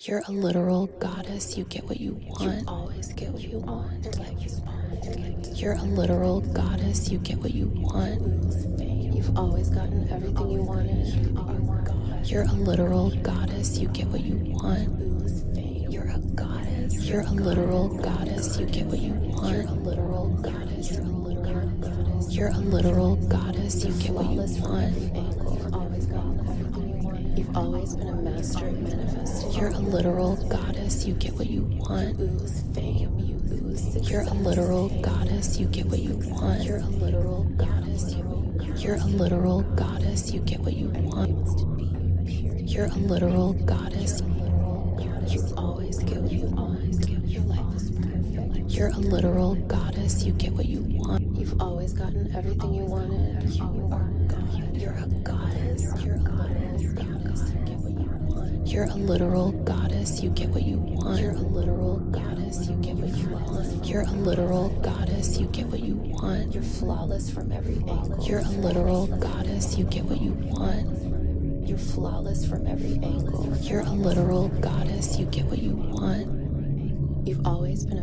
You're a literal goddess. You get what you want. You always get what you want. you are a literal goddess. You get what you want. You've always gotten everything you wanted. You're a literal goddess. You get what you want. You're a goddess. You're a literal goddess. You get what you want. You're a literal goddess. You're a literal goddess. You're a literal goddess. You get what you want. You've always been a master at manifesting. You're a literal goddess. You get what you want. You lose fame. You lose. You're a literal goddess. You get what you want. You're a literal goddess. you get what you want. You're a literal goddess. You always get what you want. You're a literal goddess. You get what you want. You've always gotten everything you want. You are a goddess. You're a goddess. You're a literal goddess. You get what you want. You're a literal goddess. You get what you want. You're a literal goddess. You get what you want. You're flawless from every angle. You're a literal goddess. You get what you want. You're flawless from every angle. You're a literal goddess. You get what you want. You've always been a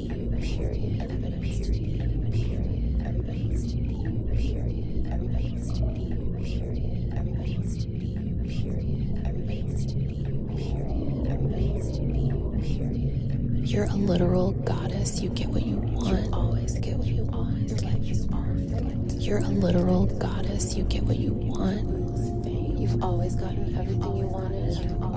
you, are a literal goddess. You get what you want. You always get what you want. You're a literal goddess. You get what you want. You've always gotten everything you wanted.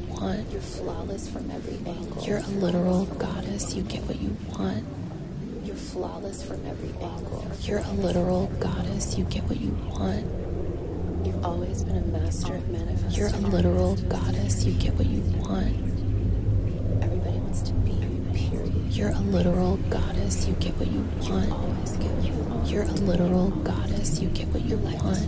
you're flawless from every angle. You're a literal goddess. You get what you want. You're flawless from every angle. You're a literal goddess. You get what you want. You've always been a master of manifesting. You're a literal goddess. You get what you want. Everybody wants to be you, period. You're a literal goddess. You get what you want. You get what you want. You're a literal goddess. You get what you want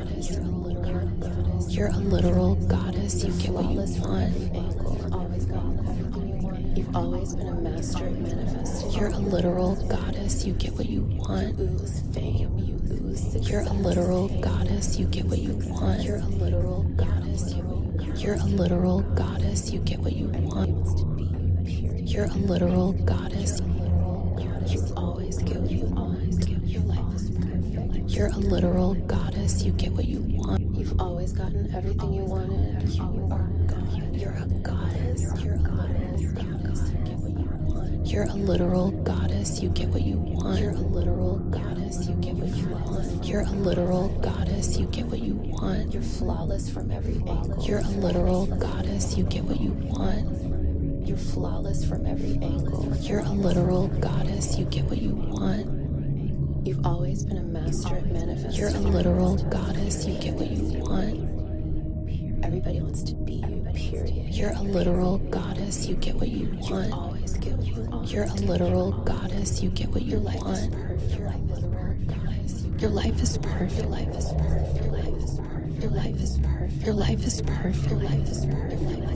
goddess. You're a literal goddess. You get what you want. You've always been a master at manifesting. You're a literal goddess. You get what you want. Ooze fame. You ooze. You're a literal goddess. You get what you want. You're a literal goddess. You're a literal goddess. You get what you want. You're a literal goddess. You always get what you want. Your life is perfect. You're a literal goddess. You get what you want. You've always gotten everything you wanted. You are God. You're a goddess. You're a literal goddess. You get what you want. You're a literal goddess. You get what you want. You're a literal goddess. You get what you want. You're a literal goddess. You get what you want. You're flawless from every angle. You're a literal goddess. You get what you want. You're flawless from every angle. You're a literal goddess. You get what you want. You've always been a master at manifesting. You're a literal goddess. You get what you want. Everybody wants to be you, period. You're a literal goddess. You get what you want. You always get what you want. You're a literal goddess. You get what you want. You're a literal goddess. Your life is perfect. Your life is perfect. Your life is perfect. Your life is perfect. Your life is perfect. Your life is perfect.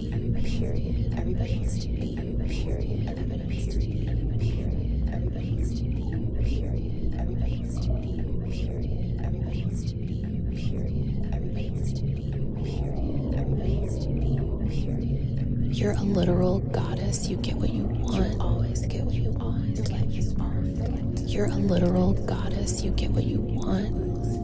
you, period. Everybody wants to be you, period. Everybody wants to be you, period. Everybody wants to be you, period. Everybody wants to be you, period. Everybody wants to be you, period. Everybody wants to be you, period. Everybody wants to be you, what You're a literal goddess. You get what you want. You always get what you want. You're a literal goddess. You get what you want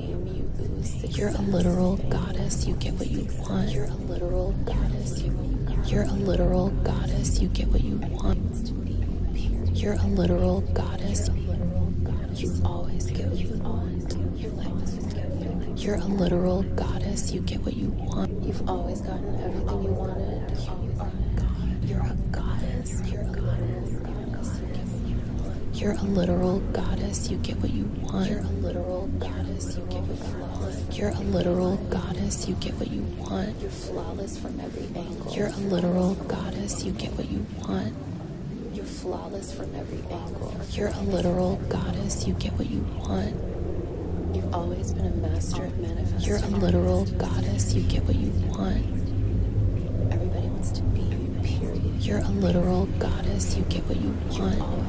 you are a literal goddess, you get what you want. You're a literal goddess, you get what you want. You're a literal goddess. You always get what you want. You're a literal goddess. You get what you want. You've always gotten everything you wanted. You are God. You're a goddess. You're a goddess. You're a literal goddess. You get what you want. You're a literal goddess. You get what you want. You're a literal goddess. You get what you want. You're flawless from every angle. You're a literal goddess. You get what you want. You're flawless from every angle. You're a literal goddess. You get what you want. You've always been a master of manifesting. You're a literal goddess. You get what you want. Everybody wants to be you, period. You're a literal goddess. You get what you want.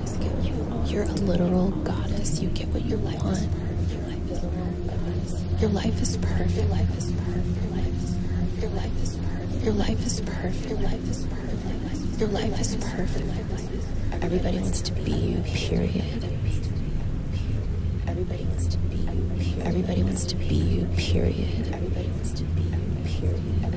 You're a literal goddess. You get what you want. Your life is perfect. Your life is perfect. Your life is perfect. Your life is perfect. Your life is perfect. Your life is perfect. Everybody wants to be you. Period. Everybody wants to be you. Everybody wants to be you. Period. Everybody wants to be you. Period.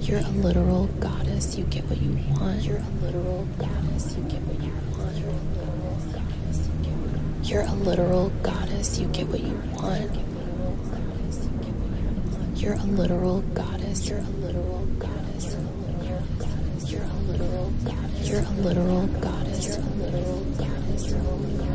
You're a literal goddess. You get what you want. You're a literal goddess. You get what you want. You're a literal goddess. You get what you want. You're a literal goddess. You get what you want. You're a literal goddess. You're a literal goddess. You're a literal goddess. You're a literal goddess. You're a literal goddess. You're a literal goddess.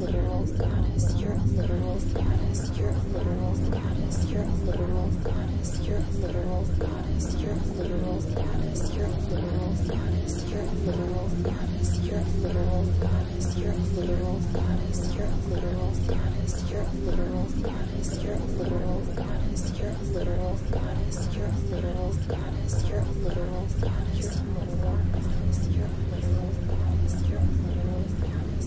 literal goddess. You're a literal goddess. You're a literal goddess. You're a literal goddess. You're a literal goddess. You're a literal goddess. You're a literal goddess. You're a literal goddess. You're a literal goddess. You're a literal goddess. You're a literal goddess. You're a literal goddess. You're a literal goddess. You're a literal goddess. You're a literal goddess. You're a literal goddess. You're a literal goddess. You're a literal goddess. You're a literal goddess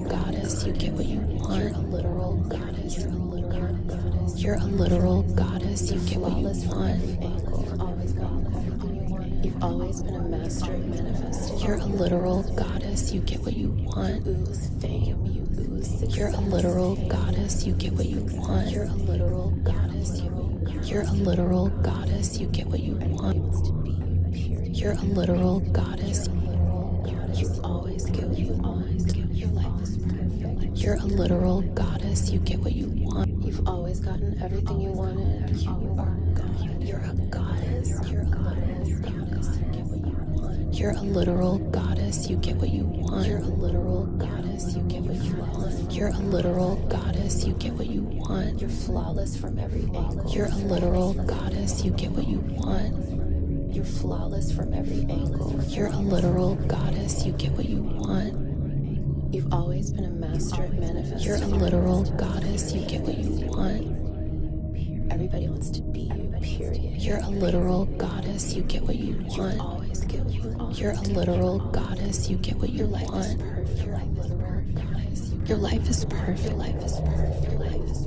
literal goddess. You get what you want. You're a literal goddess. You're a literal goddess. You're a literal goddess. You get what you want. You've always been a master manifestor. You're a literal goddess. You get what you want. Ooze fame. You ooze. You're a literal goddess. You get what you want. You're a literal goddess. You're a literal goddess. You get what you want. You're a literal goddess. You always get what you want. You're a literal goddess. You get what you want. You've always gotten everything you wanted. You are You're a goddess. You're a literal goddess. You get what you want. You're a literal goddess. You get what you want. You're a literal goddess. You get what you want. You're a literal goddess. You get what you want. You're flawless from every angle. You're a literal goddess. You get what you want. You're flawless from every angle. You're a literal goddess. You get what you want. You've always been a master at manifesting. You're a literal goddess. You get what you want. Everybody wants to be you, period. You're a literal goddess. You get what you want. You always get what you want. You're a literal goddess. You get what you want. Your life is perfect. Your life is perfect. Life Life is perfect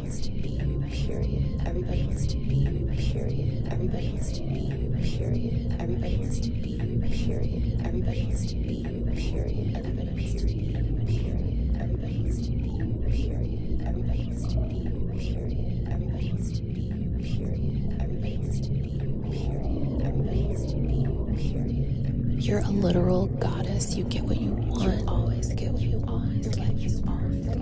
wants to be you, period. Everybody wants to be you, period. Everybody wants to be you, period. Everybody wants to be you, period. Everybody wants to be you, period. Everybody wants to be you, period. Everybody wants to be you, period. Everybody wants to be you, period. Everybody wants to be you, period. Everybody wants to be you, period. Everybody wants to be you, period. You're a literal goddess. You get what you want. You always get what you want. Like you are.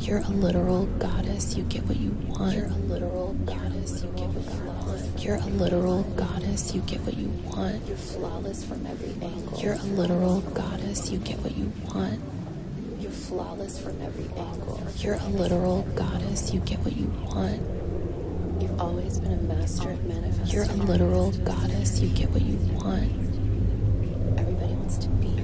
You're a literal goddess. You get what you want. You're a literal goddess. You get what you want. You're a literal goddess. You get what you want. You're flawless from every angle. You're a literal goddess. You get what you want. You're flawless from every angle. You're a literal goddess. You get what you want. You've always been a master of manifesting. You're a literal goddess. You get what you want. Everybody wants to be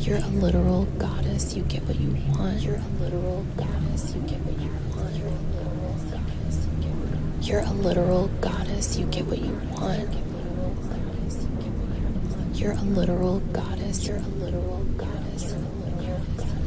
You're a literal goddess. You get what you want. You're a literal goddess. You get what you want. You're a literal goddess. You get what you want. You're a literal goddess. You get what you want. You're a literal goddess. You're a literal goddess. You're a literal goddess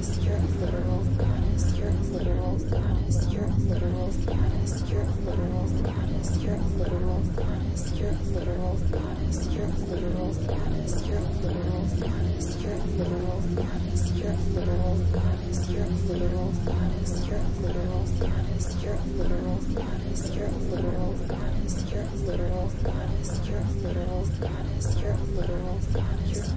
goddess, you're a literal goddess, you're a literal goddess, you're a literal goddess, you're a literal goddess, you're a literal goddess, you're a literal goddess, you're a literal goddess, you're a literal goddess, you're a literal goddess, you're a literal goddess, you're a literal goddess, you're a literal goddess, you're a literal goddess, you're a literal goddess, you're a literal goddess, you're a literal goddess, you're a literal goddess.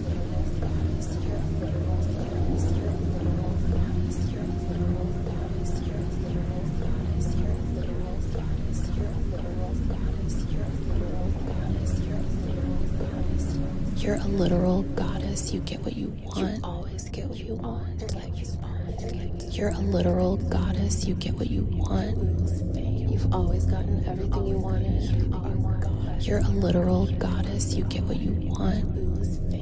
You're a literal goddess. You get what you want. You always get what you want. You're a literal goddess. You get what you want. You've always gotten everything you wanted. You're a literal goddess. You get what you want.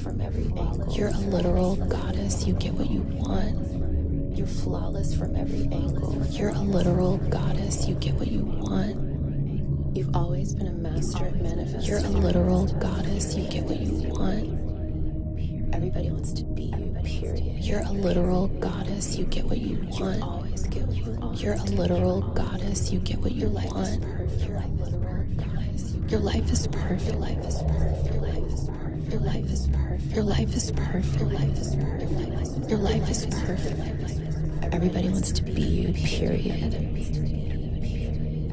flawless from every angle. You're a literal goddess. You get what you want. You're flawless from every angle. You're a literal goddess. You get what you want. You've always been a master at manifesting. You're a literal goddess. You get what you want. Everybody wants to be you, period. You're a literal goddess. You get what you want. You always get what you want. You're a literal goddess. You get what you want. You're a literal goddess realize your life is perfect. Your life is perfect. Your life is perfect. Your life is perfect. Your life is perfect. Your life is perfect. Your life is perfect. Everybody wants to be you. Period.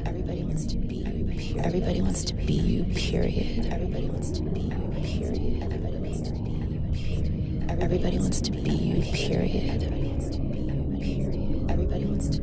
Everybody wants to be you. Period. Everybody wants to be you. Period. Everybody wants to be you. Period. Everybody wants to be you. Period. Everybody wants to be you. Period. Everybody wants to be you. Period. Everybody wants to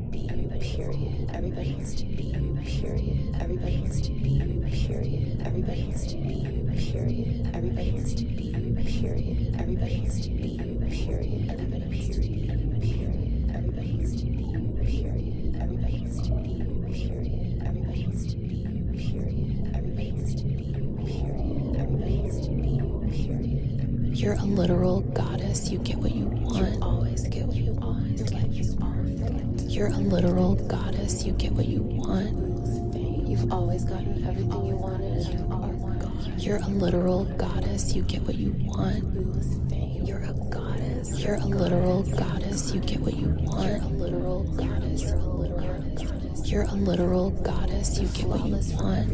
be you, period. Everybody wants to be you, period. Everybody wants to be you, period. Everybody wants to be you, period. Everybody wants to be you, period. Everybody wants to be you, period. Everybody wants to be you, period. Everybody wants to be you, period. Everybody needs to be you, period. Everybody needs to be you, period. You're a literal goddess this, you get what you want. You always get what you want. You're, like you are You're a literal goddess. You get what you want. You've always gotten everything you wanted. You are God. You're a literal goddess. You get what you want. You're a goddess. You're a literal goddess. You get what you want. You're a literal goddess. You're a literal goddess. You're a literal goddess. You get what you want.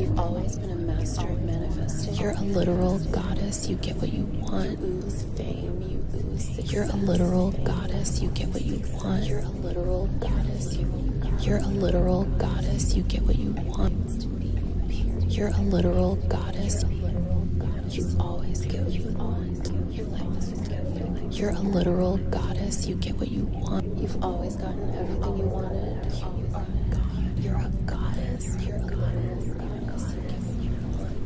You've always you're a literal goddess. You get what you want. You lose fame. You lose You're a literal goddess. You get what you want. You're a literal goddess. You're a literal goddess. You get what you want. You're a literal goddess. You always get what you want. You're a literal goddess. You get what you want. You've always always gotten everything you wanted. Um, oh you're a goddess. You're a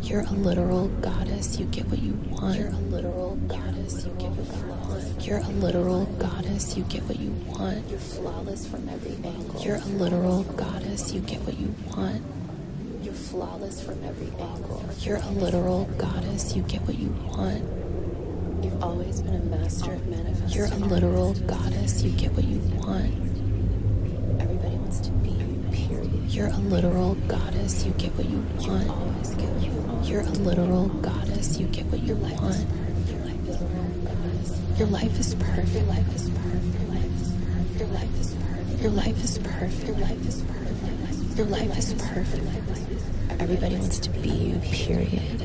You're a literal goddess. You get what you want. You're a literal goddess. You get what you want. You're a literal goddess. You get what you want. You're flawless from every angle. You're a literal goddess. You get what you want. You're flawless from every angle. You're a literal goddess. You get what you want. You've always been a master of manifesting. You're a literal goddess. You get what you want. Everybody wants to be you, period. You're a literal goddess. You get what you want. You always get you want. You're a literal goddess. You get what you want. Your life is Your life is perfect. Your life is perfect. Your life is perfect. Your life is perfect. Your life is perfect. Everybody wants to be you, period.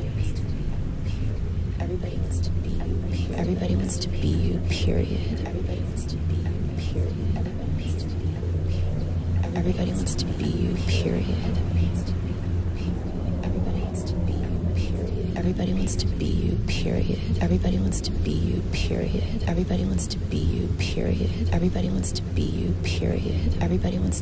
Everybody wants to be you. Everybody wants to be you, period. Everybody wants to be you, period. Everybody wants to be you, period. Everybody wants to be you, period. Everybody wants to be you, period. Everybody wants to be you, period. Everybody wants to be you, period. Everybody wants to be you, period. Everybody wants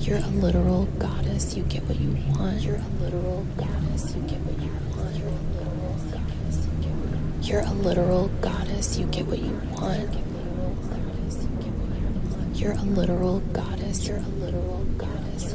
You're a literal goddess. You get what you want. You're a literal goddess. You get what you want. You're a literal goddess. You get what you want. You're a literal goddess. You are a literal goddess.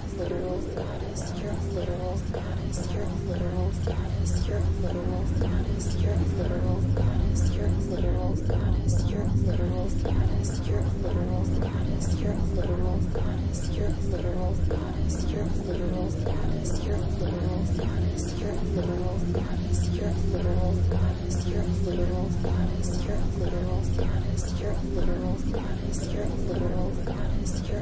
you're a literal goddess, you're a literal goddess, you're a literal goddess, you're a literal goddess, you're a literal goddess, you're a literal goddess, you're a literal goddess, you're a literal goddess, you're a literal goddess, you're a literal goddess, you're a literal goddess, you're a literal goddess, you're a literal goddess, you're a literal goddess, you're a literal goddess, you're a literal goddess, you're a literal goddess, you're a literal goddess, you're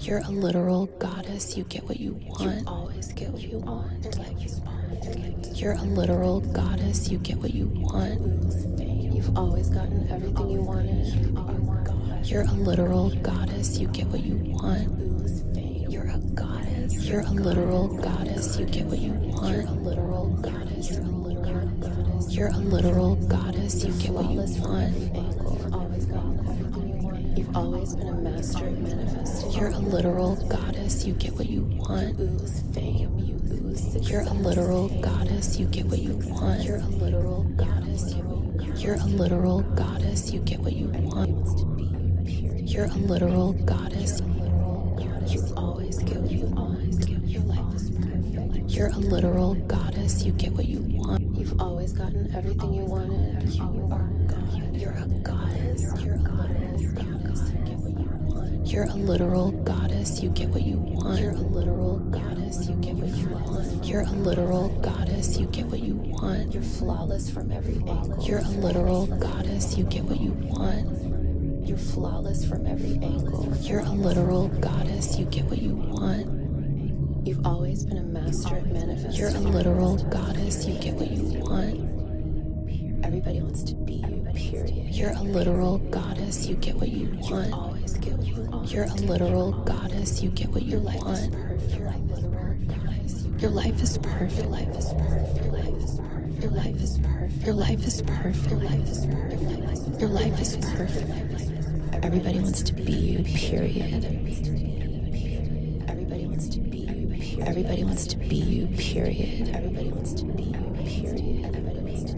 You're a literal goddess. You get what you want. You always get what you want. you You're a literal goddess. You you get what you want. You've always gotten everything you wanted. You're a literal goddess. You get what you want. You're a goddess. You're a literal goddess. You get what you want. You're a literal goddess. You're a literal goddess. You're a literal goddess. You get what you want. You've always been a master at You're a literal goddess. You get what you want fame. You lose. You're a literal goddess. You get what you want. You're a literal goddess. You're a literal goddess. You get what you want. You're a literal goddess. You always get what you want. Your life is perfect. You're a literal goddess. You get what you want. You've always gotten everything you wanted. You are a goddess. You're a goddess. You're a literal goddess goddess, you get what you want. You're a literal goddess, you get what you want. You're a literal goddess, you get what you want. You're flawless from every angle. You're a literal goddess, you get what you want. You're flawless from every angle. You're a literal goddess, you get what you want. You've always been a master at manifesting. You're a literal goddess. You get what you want. Everybody wants to be you, period. You're a literal goddess. You get what you you get what you always You're a literal goddess. You get what you want. Your life is perfect. Your life is perfect. Your life is perfect. Your life is perfect. Your life is perfect. Everybody wants to be you. Period. Everybody wants to be you. Everybody wants to be you. Period. Everybody wants to be you. Period.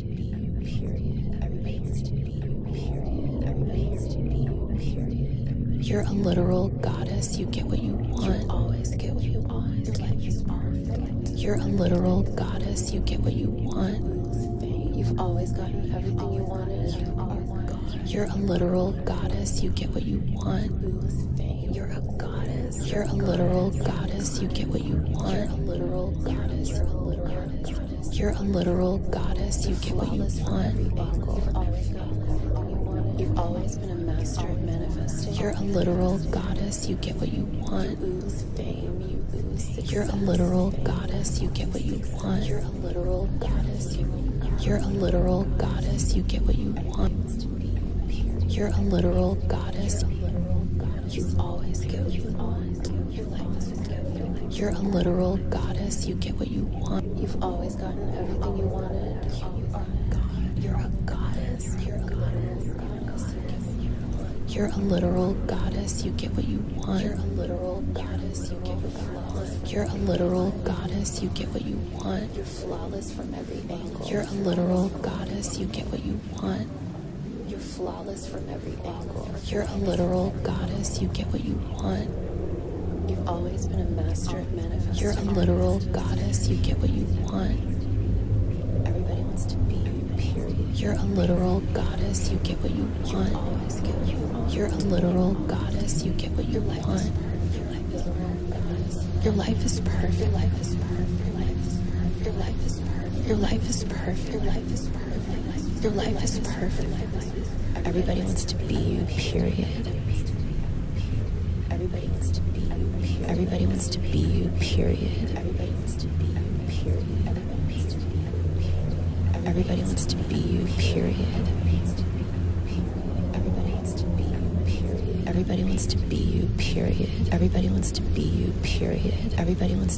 wants to be you, period. Everybody wants to be you, period. Everybody wants to be you, period. You're a literal goddess. You get what you want. You always get what you want. You're like you are. You're a literal goddess. You get what you want. You've always gotten everything you wanted. You are God. You're a literal goddess. You get what you want. You're a goddess. You're a literal goddess. You get what you want. You're a literal goddess. You're a literal you're a literal goddess. You get what you want. You've always been a master at manifesting. You're a literal goddess. You get what you want. You're a literal goddess. You get what you want. You're a literal goddess. You're a literal goddess. You get what you want. You're a literal goddess. You always get what you want you. are a literal goddess. You get what you want. You've always gotten everything you wanted. You are God. You're a goddess. You're a literal goddess. You're a literal goddess. You get what you want. You're a literal goddess. You get what you want. You're a literal goddess. You get what you want. You're flawless from every angle. You're a literal goddess. You get what you want. You're flawless from every angle. You're a literal goddess. You get what you want. You've always been a master at manifesting. You're a literal goddess. You get what you want. Everybody wants to be you, period. You're a literal goddess. You get what you want. You always get what you want. You're a literal goddess. You get what you Your want. Your life is perfect. Your life is perfect. Your life is perfect. Your life is perfect. Your life is perfect. Your life is perfect life is perfect. Your life is perfect. Everybody wants to be you, period. Everybody wants to be you, period. Everybody wants to be you, period. Everybody wants to be you, period. Everybody wants to be you, period. Everybody wants to be you, period. Everybody wants to be you, period. Everybody wants to be you, period. Everybody wants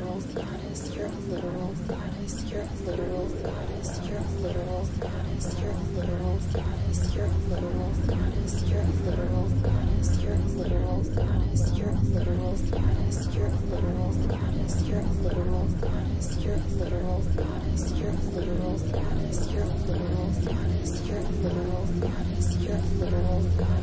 literal goddess, you're a literal goddess, you're a literal goddess, you're a literal goddess, you're a literal goddess, you're a literal goddess, you're a literal goddess, you're a literal goddess, you're a literal goddess, you're a literal goddess, you're a literal goddess, you're a literal goddess, you're a literal goddess, you're a literal goddess, you're a literal goddess, you're a literal goddess